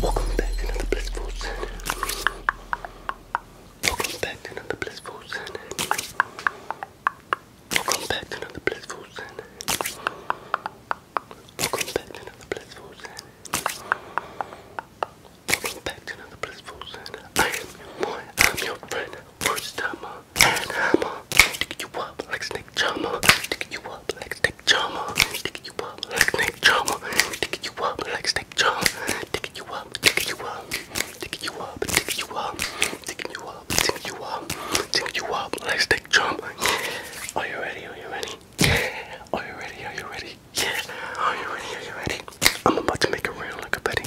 Welcome back to another blissful Welcome back to another blissful Welcome back to another blissful sin. Welcome back to another blissful sin. Welcome back to another blissful sin. I am your boy, I'm your friend, first timer, and hammer. Stick you up like snake charmer. Stick you up like snake charmer. Stick you up like snake charmer. Stick you up like snake charmer. Stick you up, stick you up, stick you up, stick you up. Taking you up, taking you up, taking you up. Let's take jump. Are you ready? Are you ready? Are you ready? Are you ready? Yeah. Are you ready? Are you ready? I'm about to make a round like a petty.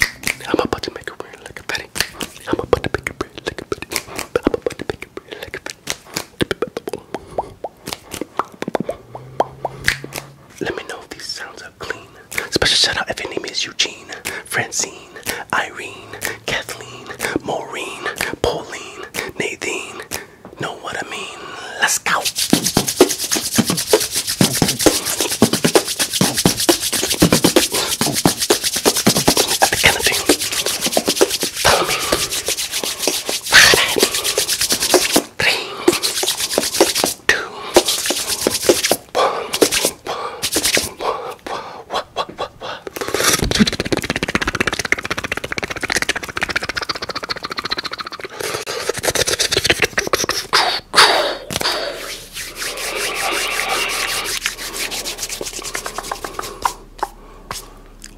I'm about to make a round like a petty. I'm about to make a round like a petty. I'm about to make a round like a petty. Let me know if these sounds are clean. Special shout out if your name is Eugene. Francine, Irene, Kathleen, Maureen, Pauline, Nadine. Know what I mean? Let's go. At the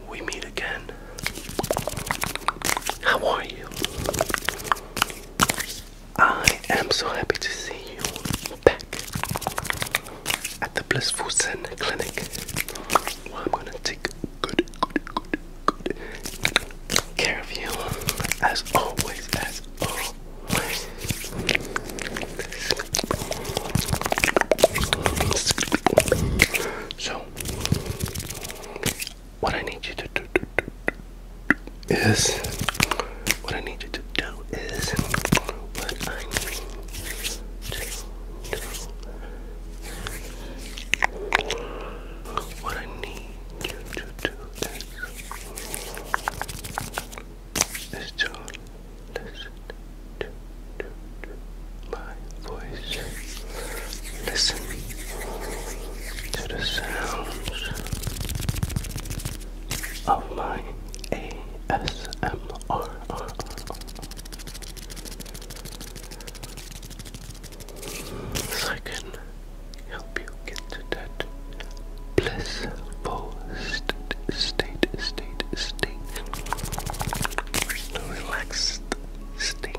we meet again. How are you? I am so happy to see you back at the Blissful Sin Clinic I'm gonna take good, good, good, good care of you as always, as always. So, what I need you to do, is what I need you need to do is what I need to do. What I need you to do is, is to listen to, to, to my voice. Listen to the sounds of my ASMR. So I can help you get to that blissful st state, state, state, relaxed state,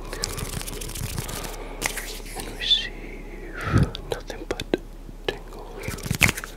and receive nothing but tingles.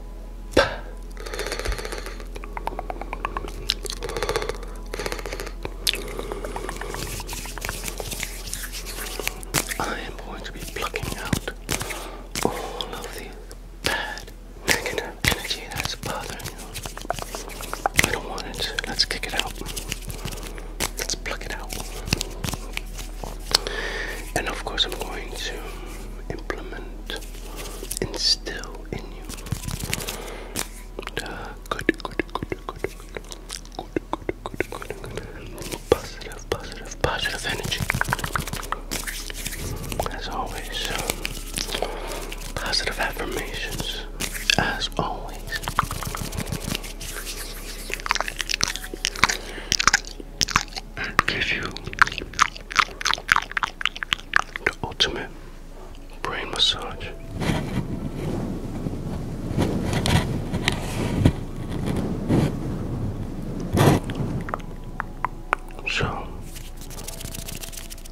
I am going to be plucking out all of the bad negative energy that's bothering you. I don't want it. Let's kick it out. Let's pluck it out. And of course, I'm going to implement, instill in you. good, good, good, good, good, good, good, good, good, good. Positive, positive, positive energy. As always, positive affirmations. As always. And give you the ultimate brain massage. So,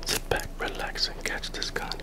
sit back, relax, and catch this contact.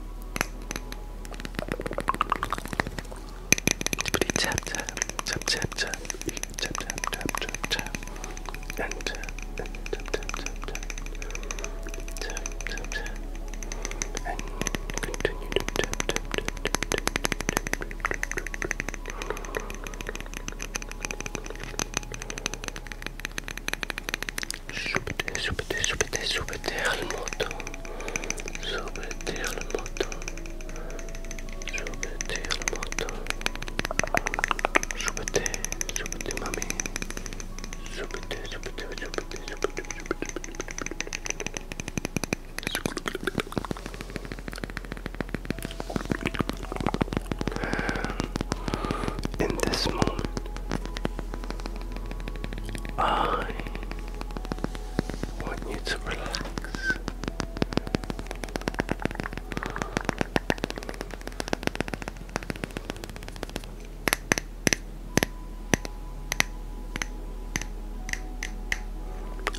Pretty tap tap tap tap tap tap tap tap tap tap and tap and tap tap tap tap tap tap tap and continue to tap tap tap tap tap tap tap tap Subite, subite, subite, subite al moto. Subite al moto. Subite al moto. Subite, subite mami. Subite, subite, subite, subite, subite. In this moment, I want you to relax.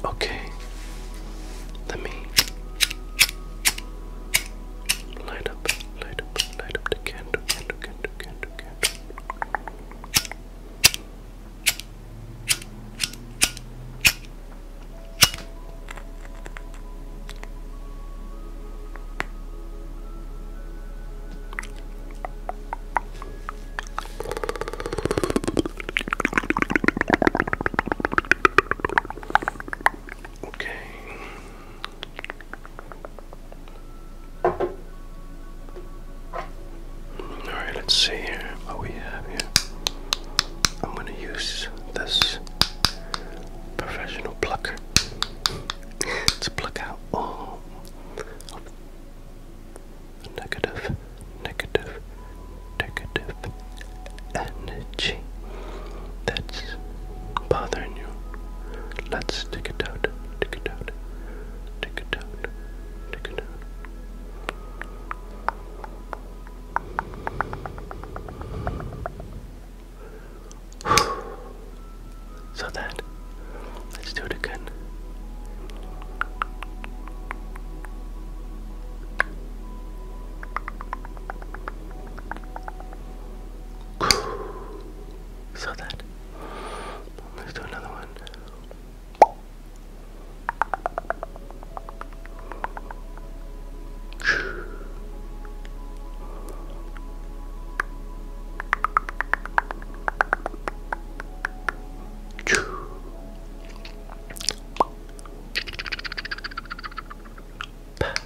Okay, let me light up, light light up, the candle, candle, candle, candle, candle. Okay, Alright, let's see here what we have here. I'm gonna use this professional plucker to pluck out all negative, negative, negative energy that's bothering you. Let's take it out, take it out, take it out, take it out. So that, let's do it again. Saw that. Let's do another one. Pat.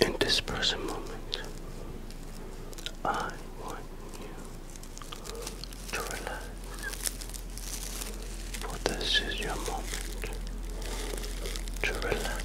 In this present moment, I want you to relax, for this is your moment to relax.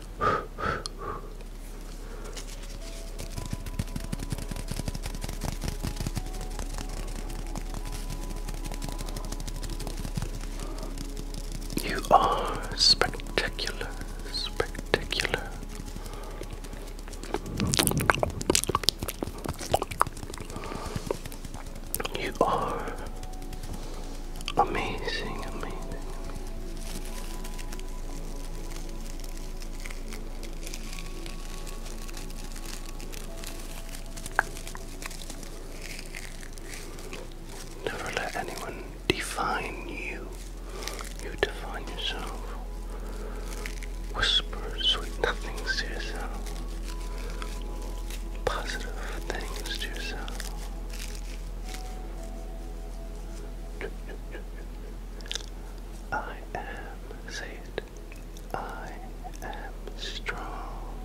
You are spectacular, spectacular. You are amazing, amazing, Never let anyone define you. You define yourself. Whisper sweet nothings to yourself. Positive things to yourself. I am, say it, I am strong.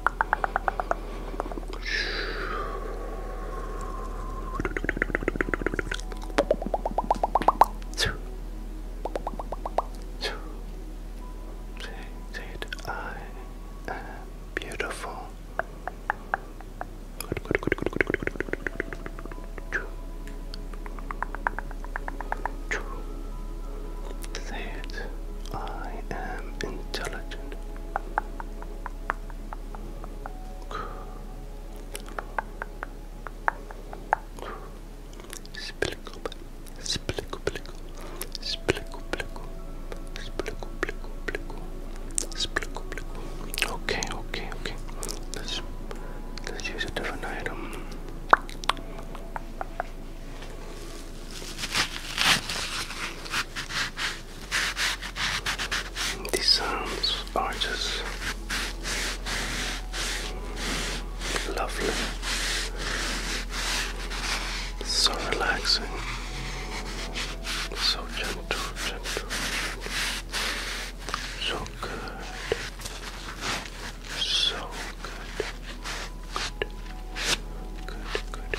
say it, I am beautiful. Good, good, I am intelligent. Splickle, splickle, splickle, splickle, splickle, splickle, splickle, Okay, okay, okay. Let's let's use a different item. These sounds are just lovely, so relaxing, so gentle, gentle, so good. So good. Good. Good, good, good.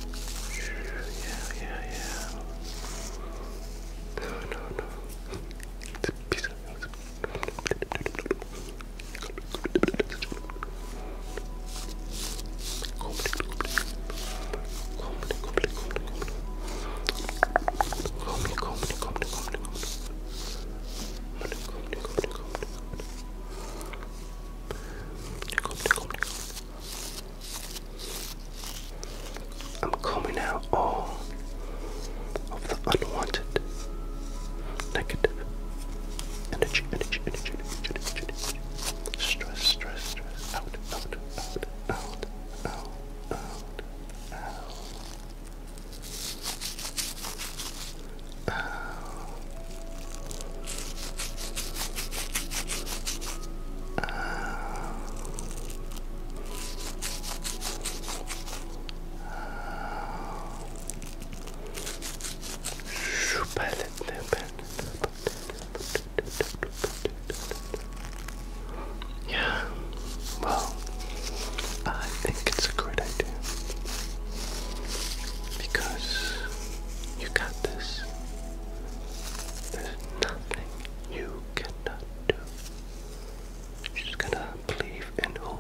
Yeah, yeah, yeah. No, no, no. I'm coming out all of the unwanted negative energy, energy, energy, energy, energy, energy. Stress, stress, stress. Out, out, out, out, out, out, out. Uh, uh, yeah, well, I think it's a great idea because you got this. There's nothing you cannot do. just gonna believe in who?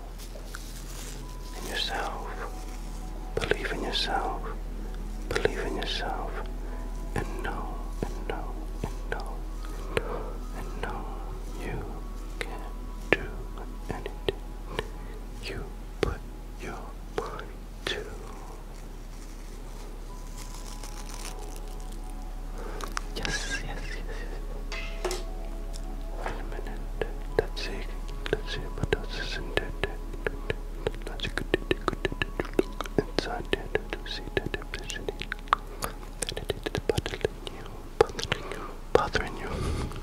In yourself. Believe in yourself. Believe in yourself. And know, and know, and know, and know, and know you can do anything. You put your one, two. Yes, yes, yes, yes. Wait a minute. That's it. That's it, but that isn't it. That's good. Look inside it to see the depression. That it is bothering you, bothering you, bothering you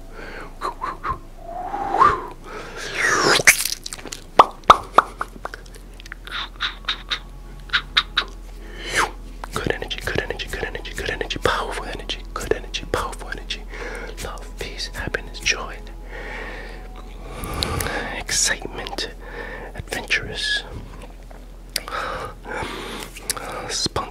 Good energy, good energy, good energy, good energy, powerful energy, good energy, powerful energy, love, peace, happiness, joy, excitement, adventurous, spontaneous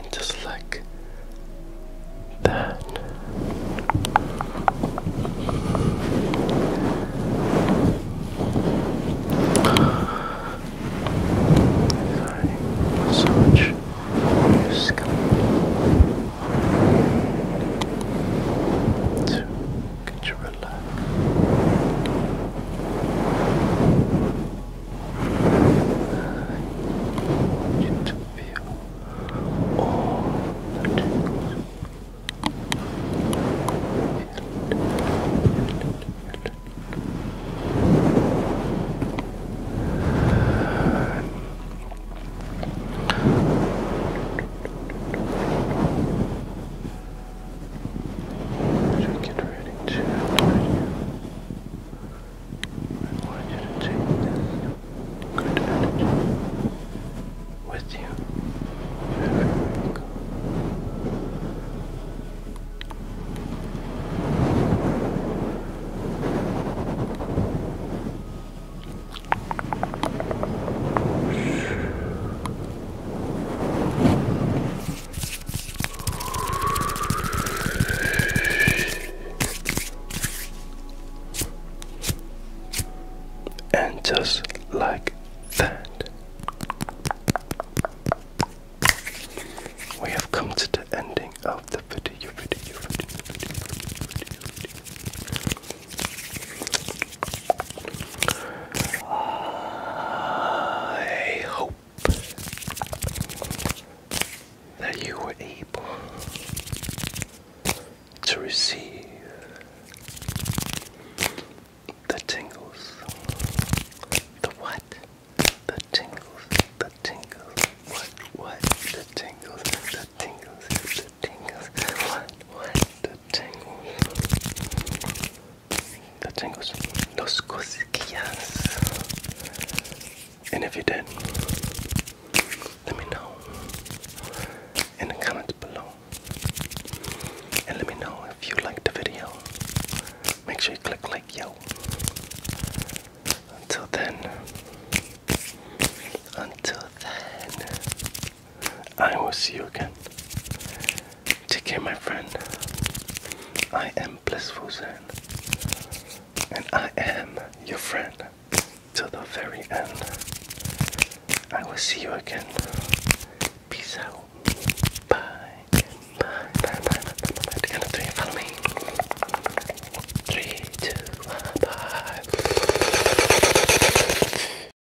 And just like that. Sorry, massage your scalp. So, you feel all the tingles. And as get ready to I want you to take this good energy with you and just like that, we have come to the ending of the video, video, video, video, video, video. I hope that you were able to receive the tingles. The what? The tingles. The tingles. What? What? The tingles. The tingles. The tingles. What? What? The tingles. The tingles. Los cosquillas. And if you did, let me know in the comments below. And let me know if you liked the video. Make sure you click like, yo. Until then, until then, I will see you again. Take care, my friend. I am Blissful Zen, and I am your friend to the very end. I will see you again Peace out. Bye. Bye. Bye. Bye. Bye. Bye. Bye. Count of three. Follow me. Three, two, one. Bye.